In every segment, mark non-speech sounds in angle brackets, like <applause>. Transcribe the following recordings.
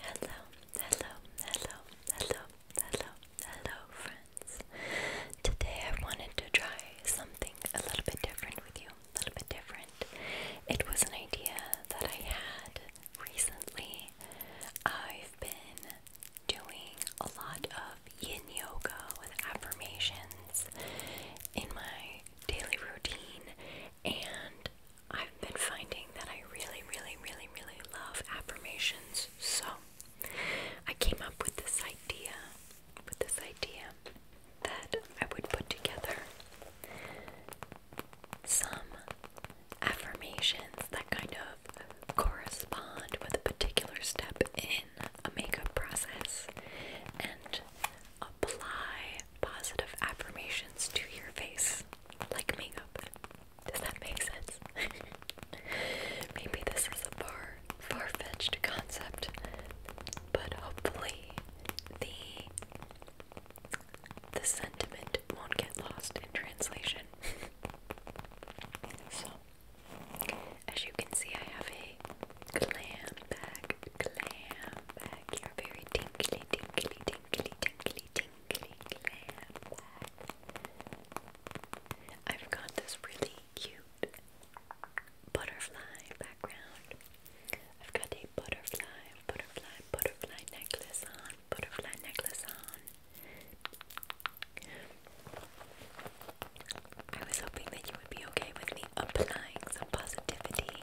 Hello, hello, hello, hello, hello, hello, friends. Today I wanted to try something a little bit different with you. A little bit different. It was an idea that I had recently. I've been doing a lot of yin yoga with affirmations in my daily routine, and I've been finding that I really, really, really, really love affirmations. So I came up with this idea, with this idea that I would put together some affirmations that kind of correspond with a particular step in a makeup process and apply positive affirmations to your face, like makeup. Does that make sense? <laughs> Maybe this is a far, far-fetched concept, but hopefully the the sentiment won't get lost in translation. <laughs> so, as you can see, I have a glam bag, glam bag here, very tingly, tingly, tingly tinkly, tinkly, tinkly glam I've got this really cute butterfly background. I've got a butterfly, butterfly, butterfly necklace on, butterfly necklace on. I was hoping that you would be okay with me applying some positivity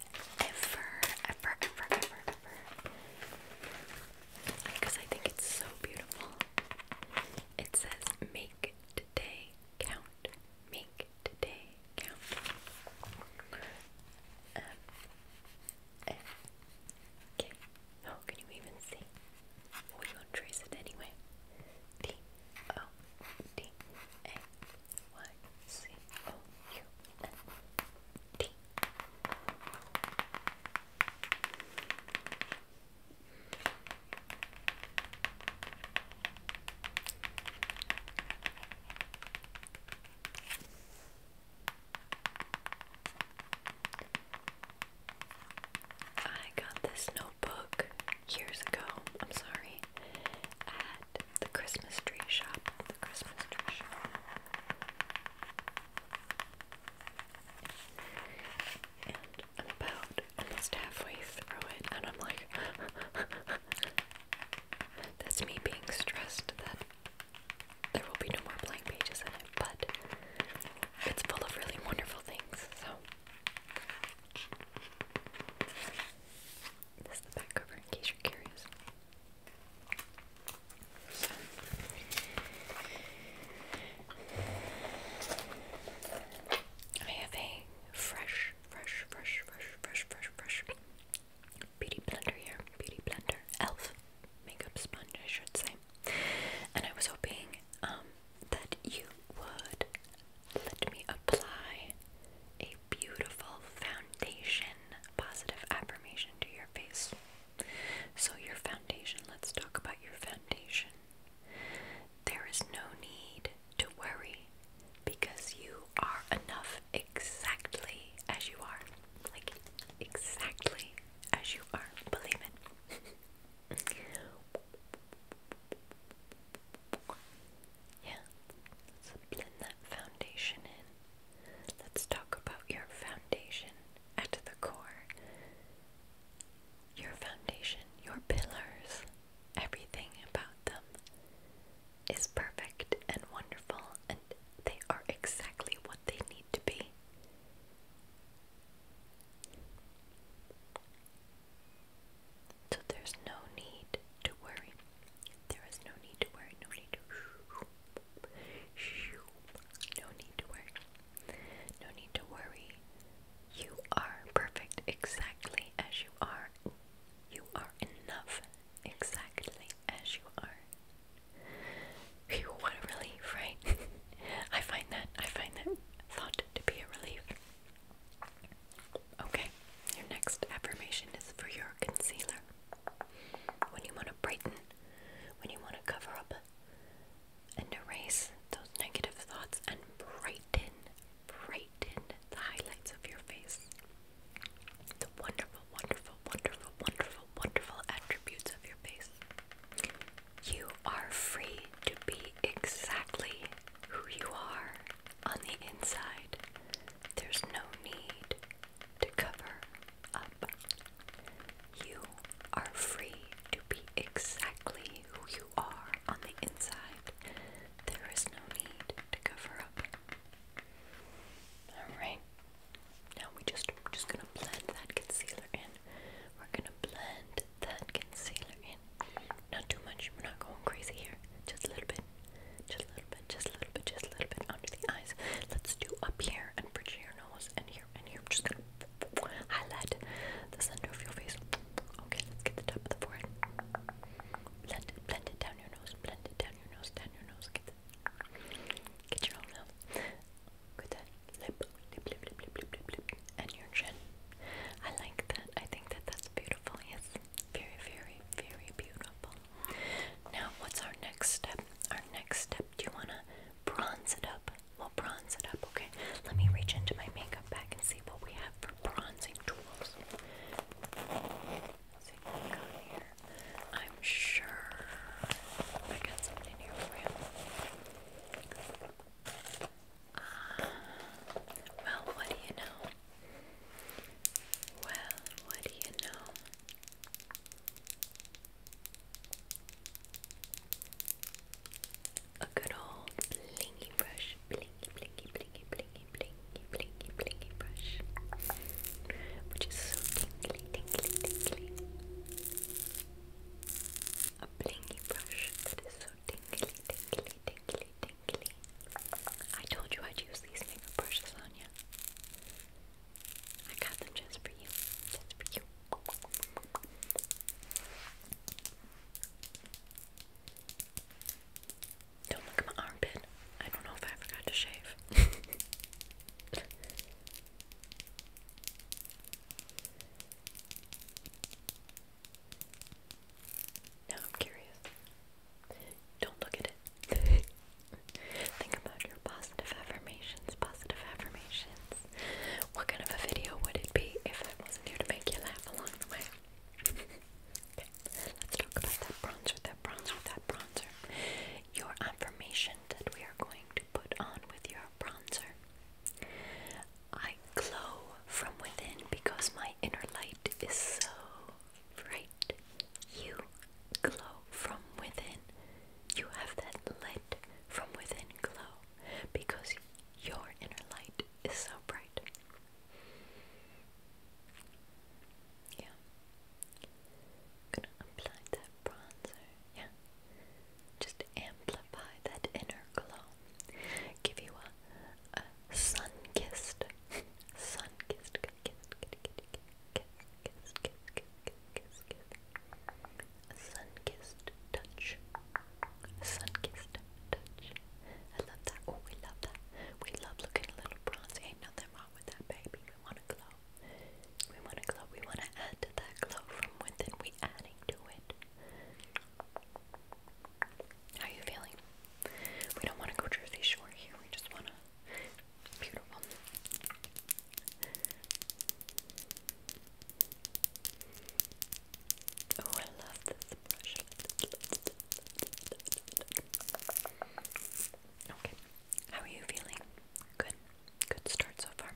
ever, ever, ever, ever, ever. Because I think it's so beautiful. It says, make today count. Make today count. okay. Oh, can you even see? We gonna trace it anyway. D O D A Y C O U T. I got this notebook years ago. I'm sorry. At the Christmas tree shop. The Christmas tree shop. And I'm about almost halfway through it, and I'm like, <laughs> that's me being stressed that there will be no more blank pages in it, but it's full of really wonderful things, so. This is the back cover in case you're curious. I have a fresh, fresh, fresh, fresh, fresh, fresh, fresh beauty blender here. Beauty blender, elf makeup sponge, I should say. And I was hoping um, that you would let me apply a beautiful foundation, positive affirmation to your face. So, your foundation, let's talk about your foundation. There is no need to worry because you are enough exactly as you are. Like, exactly as you are. Believe it. <laughs> yeah. Let's blend that foundation in. Let's talk about your foundation at the core. Your foundation, your pillars, everything about them is perfect and wonderful, and they are exactly what they need to be. So there's no need to worry there is no need to worry, no need to no need to worry. No need to worry. You are perfect exactly as you are. You are enough exactly as you are. Phew, want a relief, right? <laughs> I find that I find that thought to be a relief. Okay, your next affirmation is for your concealer when you want to brighten, when you want to cover up and erase those negative thoughts and brighten, brighten the highlights of your face. The wonderful, wonderful, wonderful, wonderful, wonderful attributes of your face. You are free to be exactly who you are on the inside. There's no need to cover up. You are free to be exactly who you are on the inside. There is no need to cover up. Alright. Now we just we're just gonna blend that concealer in. We're gonna blend that concealer in. Not too much. We're not going crazy here. Just a little bit. Just a little bit, just a little bit, just a little bit under the eyes. Let's do up here and bridge your nose and here and here. I'm just gonna highlight the center of your face. Okay, let's get the top of the forehead. Blend it, blend it down your nose, blend it down your nose, down your nose. Get, the, get your whole nose. Good that lip, lip, lip, lip, lip, lip, lip, lip, and your chin. I like that. I think that that's beautiful. Yes, very, very, very beautiful. Now, what's our next step? Our next step, do you want to bronze it up? We'll bronze it up, okay? Let me reach into my makeup bag and see what we have for bronzing tools. see what we got here. I'm sure I got something here for you. Uh, well, what do you know? Well, what do you know? A good old blinky brush, blinky, blinky, blinky, blinky, blinky, blinky, blinky brush, which is so tingly, tingly, tingly. A blinky brush that is so tingly, tingly, tingly, tingly. I told you I'd use these makeup brushes on you. I got them just for you. Just for you. Don't look at my armpit. I don't know if I forgot to shave. <laughs> now I'm curious. Don't look at it. <laughs> Think about your positive affirmations, positive affirmations. What kind of a video would it be if I wasn't here to make you laugh along the way? <laughs> let's talk about that bronzer, that bronzer, that bronzer. Your affirmation that we are going to put on with your bronzer. I glow from within because my inner light is so bright. You glow from within. You have that lit from within glow because your inner light is so bright. Yeah. gonna apply that bronzer. Yeah. Just amplify that inner glow. Give you a sun kissed, sun kissed kiss, kiss, kiss, kiss, kiss. A sun-kissed touch. A sun-kissed touch. I love that. Oh, we love that. We love looking a little bronzy. Ain't nothing wrong with that, baby. We want to glow. We want to glow. We want to add to that glow from within. We adding to it. How you feeling? We don't want to go Jersey Shore here. We just want to Beautiful. Oh, I love this brush. Okay, how are you feeling? Good, good start so far.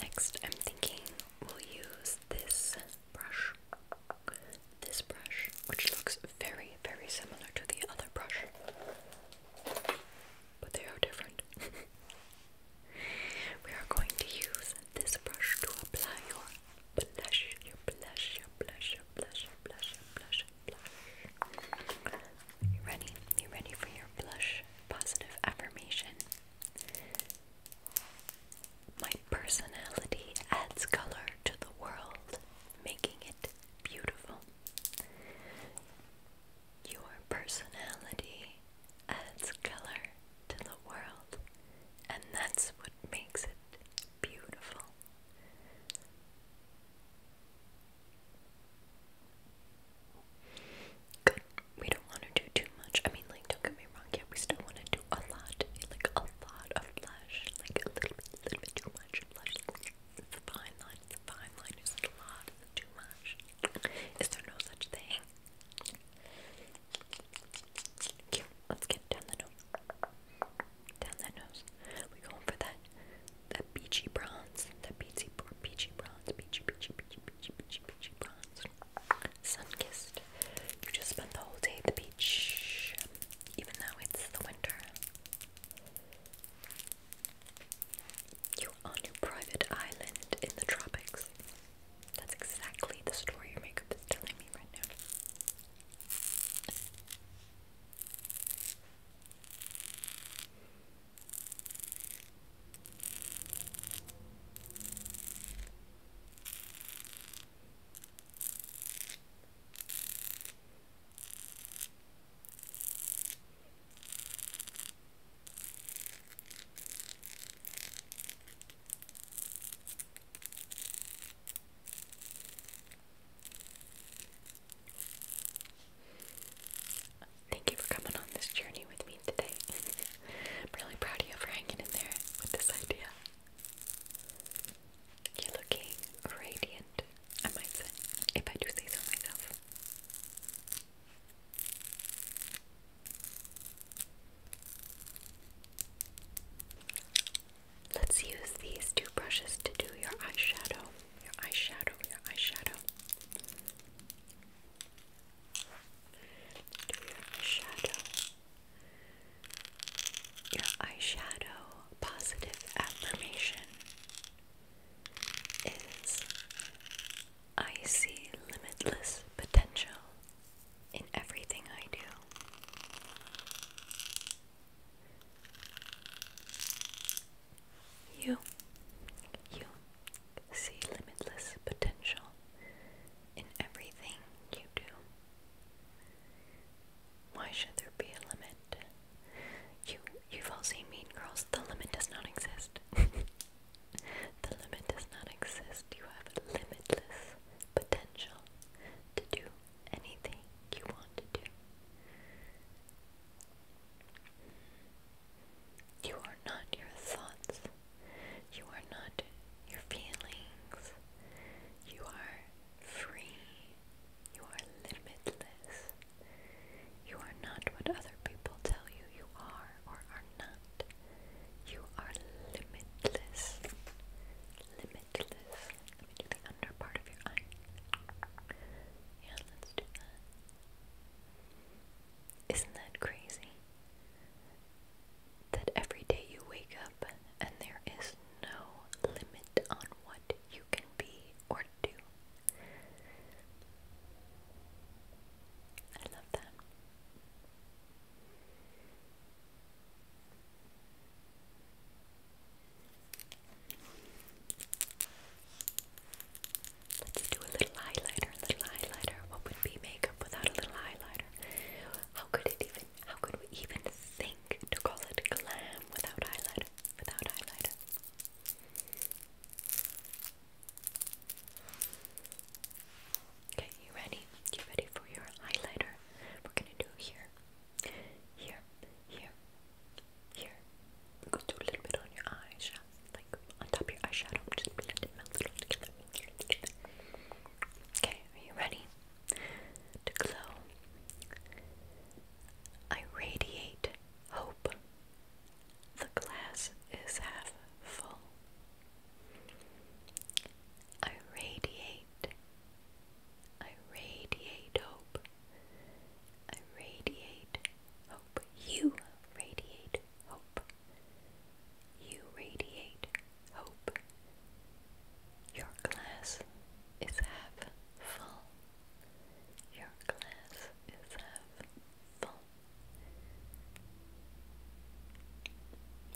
Next, I'm thinking we'll use this brush this brush, which looks very, very similar to the other brush, but they are different. <laughs> we are going to use this brush to apply your blush, your blush, your blush, your blush, your blush, your blush, your blush. You ready? You ready for your blush positive affirmation? My personality adds color to the world making it beautiful. Your personality adds color to the world, and that's what makes it beautiful. Good. We don't want to do too much. I mean, like, don't get me wrong. Yeah, we still want to do a lot, like a lot of like a little bit, little bit too much blush. It's a fine line. It's a fine line. Is a lot? Is it too much? Is there no such thing? let's get down the nose. Down that nose. we going for that that peachy bronze. That peachy, peachy bronze. Peachy, peachy, peachy, peachy, peachy, peachy bronze. Sun kissed. You just spent the whole day at the beach even though it's the winter. You on your private island in the tropics. That's exactly the story your makeup is telling me right now. Thank you for coming on this journey with me today. <laughs> I'm really proud of you for hanging in there with this idea. You're looking radiant, I might say, if I do say so myself. Let's use these two brushes to do your eyeshadow, your eyeshadow, your eyeshadow. Do your eyeshadow. Your eyeshadow positive affirmation is I see limitless potential in everything I do. You, you see limitless potential in everything you do. Why should there be a limit? You you've all seen Mean Girls. The limit does not exist. <laughs> the limit does not exist. You have limitless potential to do anything you want to do. You are not your thoughts. You are not your feelings. You are free. You are limitless. You are not what other people tell you you are or are not. You are limitless. Limitless. Let me do the under part of your eye. Yeah, let's do that. Isn't that crazy? that every day you wake up and there is no limit on what you can be or do. I love that. Let's do a little highlighter, a little highlighter. What would be makeup without a little highlighter? How could it even how could we even think to call it glam without highlighter? Without highlighter. Okay, you ready? You ready for your highlighter? We're gonna do here, here, here, here. i do a little bit on your eyeshadow, like on top of your eyeshadow. Just blend it, melt it all together. Okay, are you ready? to glow. I radiate hope. The glass is half full. I radiate. I radiate hope. I radiate hope. You radiate hope. You radiate hope your glass is half full. Your glass is half full.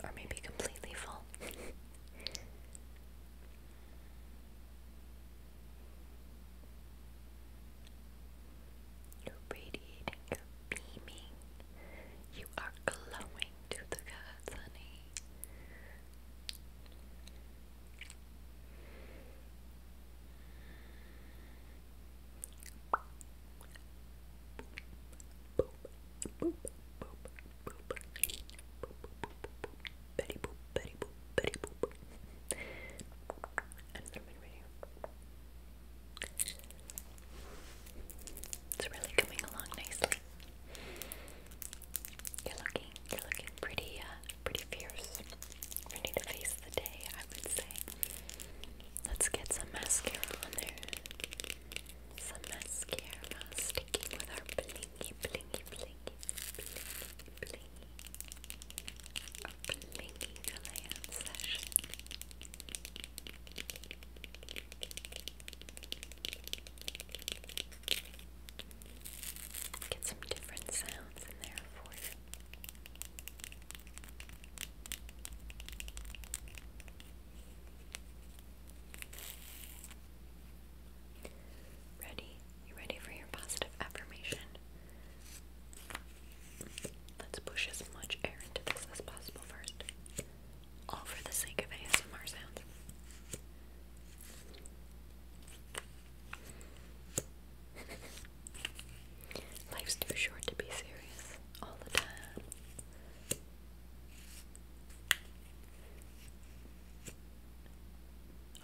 Or maybe completely full. You're radiating, you're beaming, you are glowing to the gods, honey. Boop, boop, It's really coming along nicely. You're looking, you're looking pretty, uh, pretty fierce. Ready to face the day, I would say. Let's get some mascara on there. Some mascara sticking with our blingy, blingy, blingy, blingy, blingy. blingy glam session. Get some different sounds in there for you. Ready? You ready for your positive affirmation? Let's push as much air into this as possible first all for the sake of ASMR sounds. <laughs> Life's too short to be serious all the time.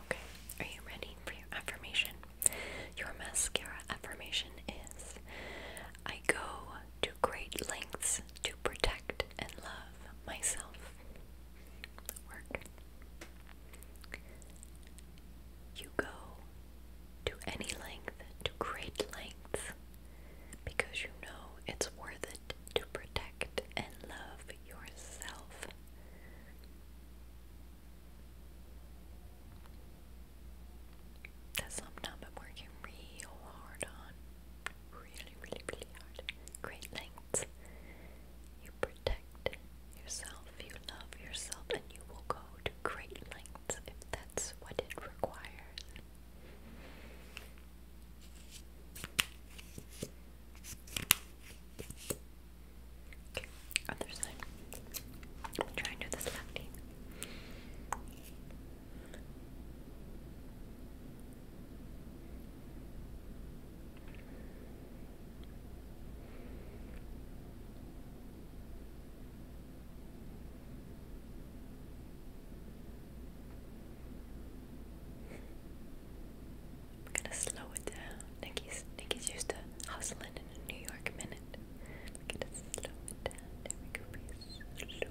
Okay, are you ready for your affirmation? Your mascara affirmation is I go to great lengths to protect and love myself. Work. You go to any length, to great lengths, because you know it's worth it to protect and love yourself. That's something I've working real hard on really, really, really hard. Great lengths. You protect yourself, you love yourself, and you will go to great lengths if that's what it requires. Okay, other side. I'm trying to do this lefty. I'm gonna slow it down. Nikki's Nikki's used to hustling in a New York minute. I'm gonna slow it down. There we go. Slow it down.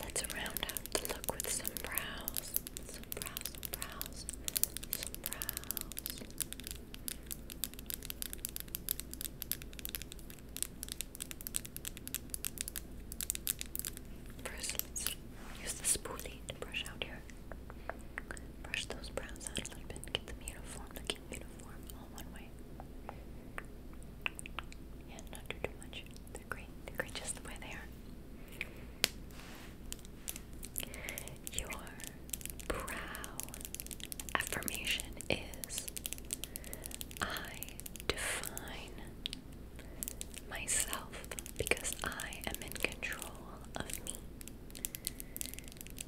Let's round out the look with some brows. Some brows, some brows, some brows. 1st use the spoolie to brush out here. Brush those brows out a little bit, get them uniform, looking uniform all one way. Yeah, not do too much great. great just the way they are. Your brow affirmation is I define myself because I am in control of me.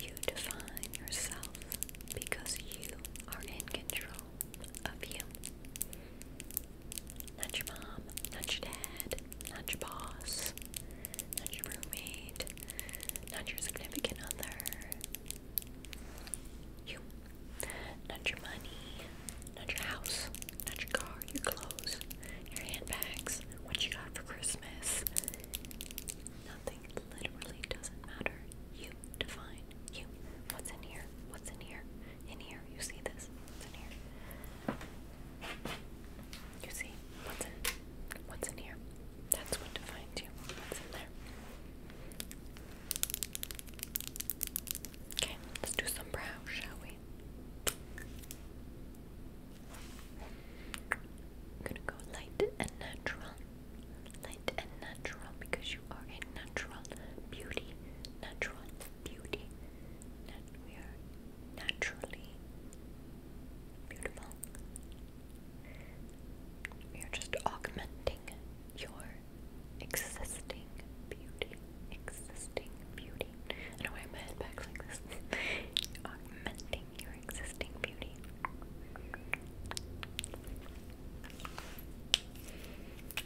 You define yourself because you are in control of you. Not your mom, not your dad, not your boss, not your roommate, not your significant other. You. Not your money, not your house, not your car, your clothes, your handbags, what you got for Christmas. Nothing literally doesn't matter. You define you. What's in here? What's in here? in here. You see this? It's in here. You see what's in what's in here? That's what defines you. What's in there? Okay, let's do some brow, shall we? I'm gonna go light and natural. Light and natural because you are a natural beauty natural beauty we are naturally beautiful. We are just augmenting your existing beauty. Existing beauty. I don't my head like this. <laughs> augmenting your existing beauty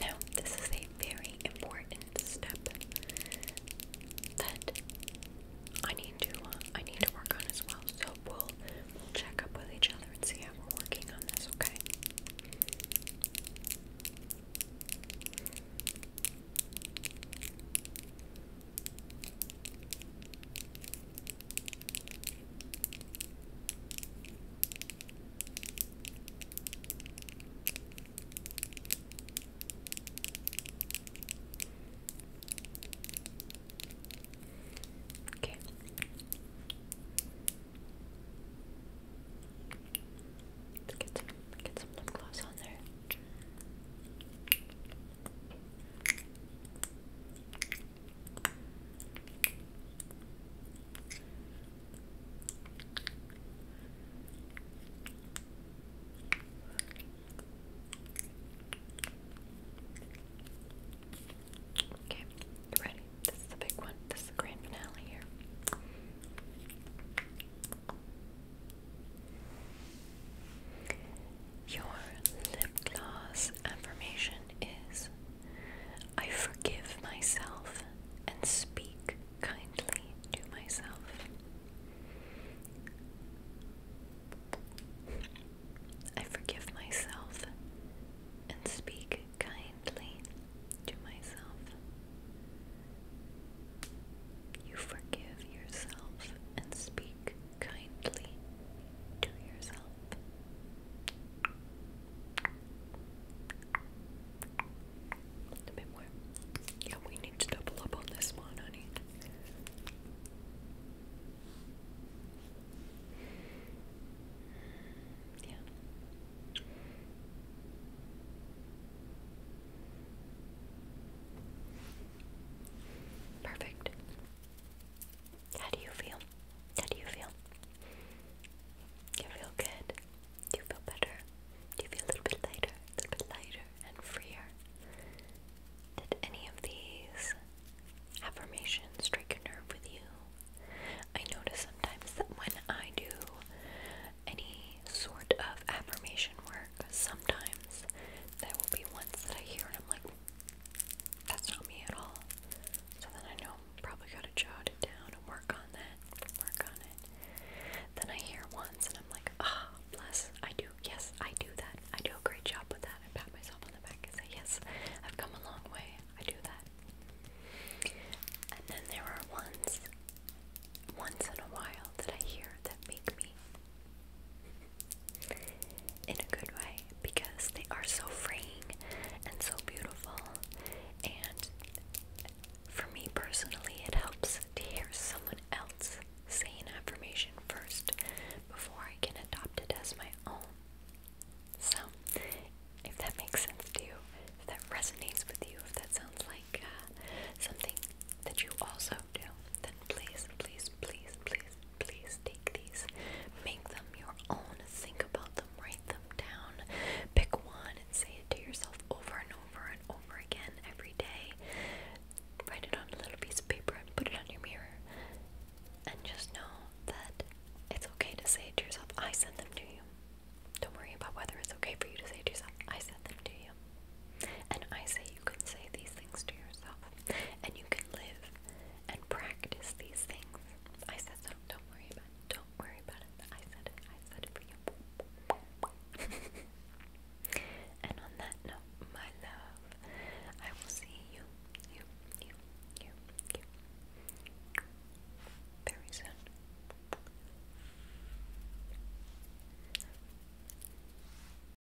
Now, this is a very important step that I need to uh, I need to work on as well. So we'll we'll check up with each other and see how we're working on this. Okay. Okay. let get some get some lip gloss on there. Okay, you ready? This is the big one. This is the grand finale here. Your lip gloss affirmation is I forgive myself and speak kindly to myself. I forgive myself and speak kindly to myself. You forgive yourself and speak kindly to yourself. A bit more. Yeah, we need to double up on this one, honey. Yeah. Perfect. How do you feel? How do you feel? You feel good? Do you feel better? Do you feel a little bit lighter? A little bit lighter and freer? Did any of these affirmations strike a nerve with you? I notice sometimes that when I do any sort of affirmation work, sometimes there will be ones that I hear and I'm like, that's not me at all. So then I know I'm probably gotta jot it down and work on that, work on it. Then I hear once and I'm like, ah, bless, I do, yes, I do that. I do a great job with that. I pat myself on the back and say, yes, I've come a long way. I do that. And then there are ones, once in a while, that I hear that make me in a good way because they are so freeing and so beautiful. And for me personally, it helps to hear someone else saying affirmation first before I can adopt it as my own. So, if that makes sense to you, if that resonates with you, if that sounds like uh, something that you also then please, please, please, please, please take these. Make them your own. Think about them. Write them down. Pick one and say it to yourself over and over and over again every day. Write it on a little piece of paper and put it on your mirror. And just know that it's okay to say it to yourself. I sent them to you. Don't worry about whether it's okay for you to say it to yourself. I sent them to you. And I say you can say these things to yourself and you can live and practice these things. I said so. Don't worry about it. Don't worry about it. I said it. I said it for you. <laughs> and on that note, my love, I will see you, you, you, you, you very soon.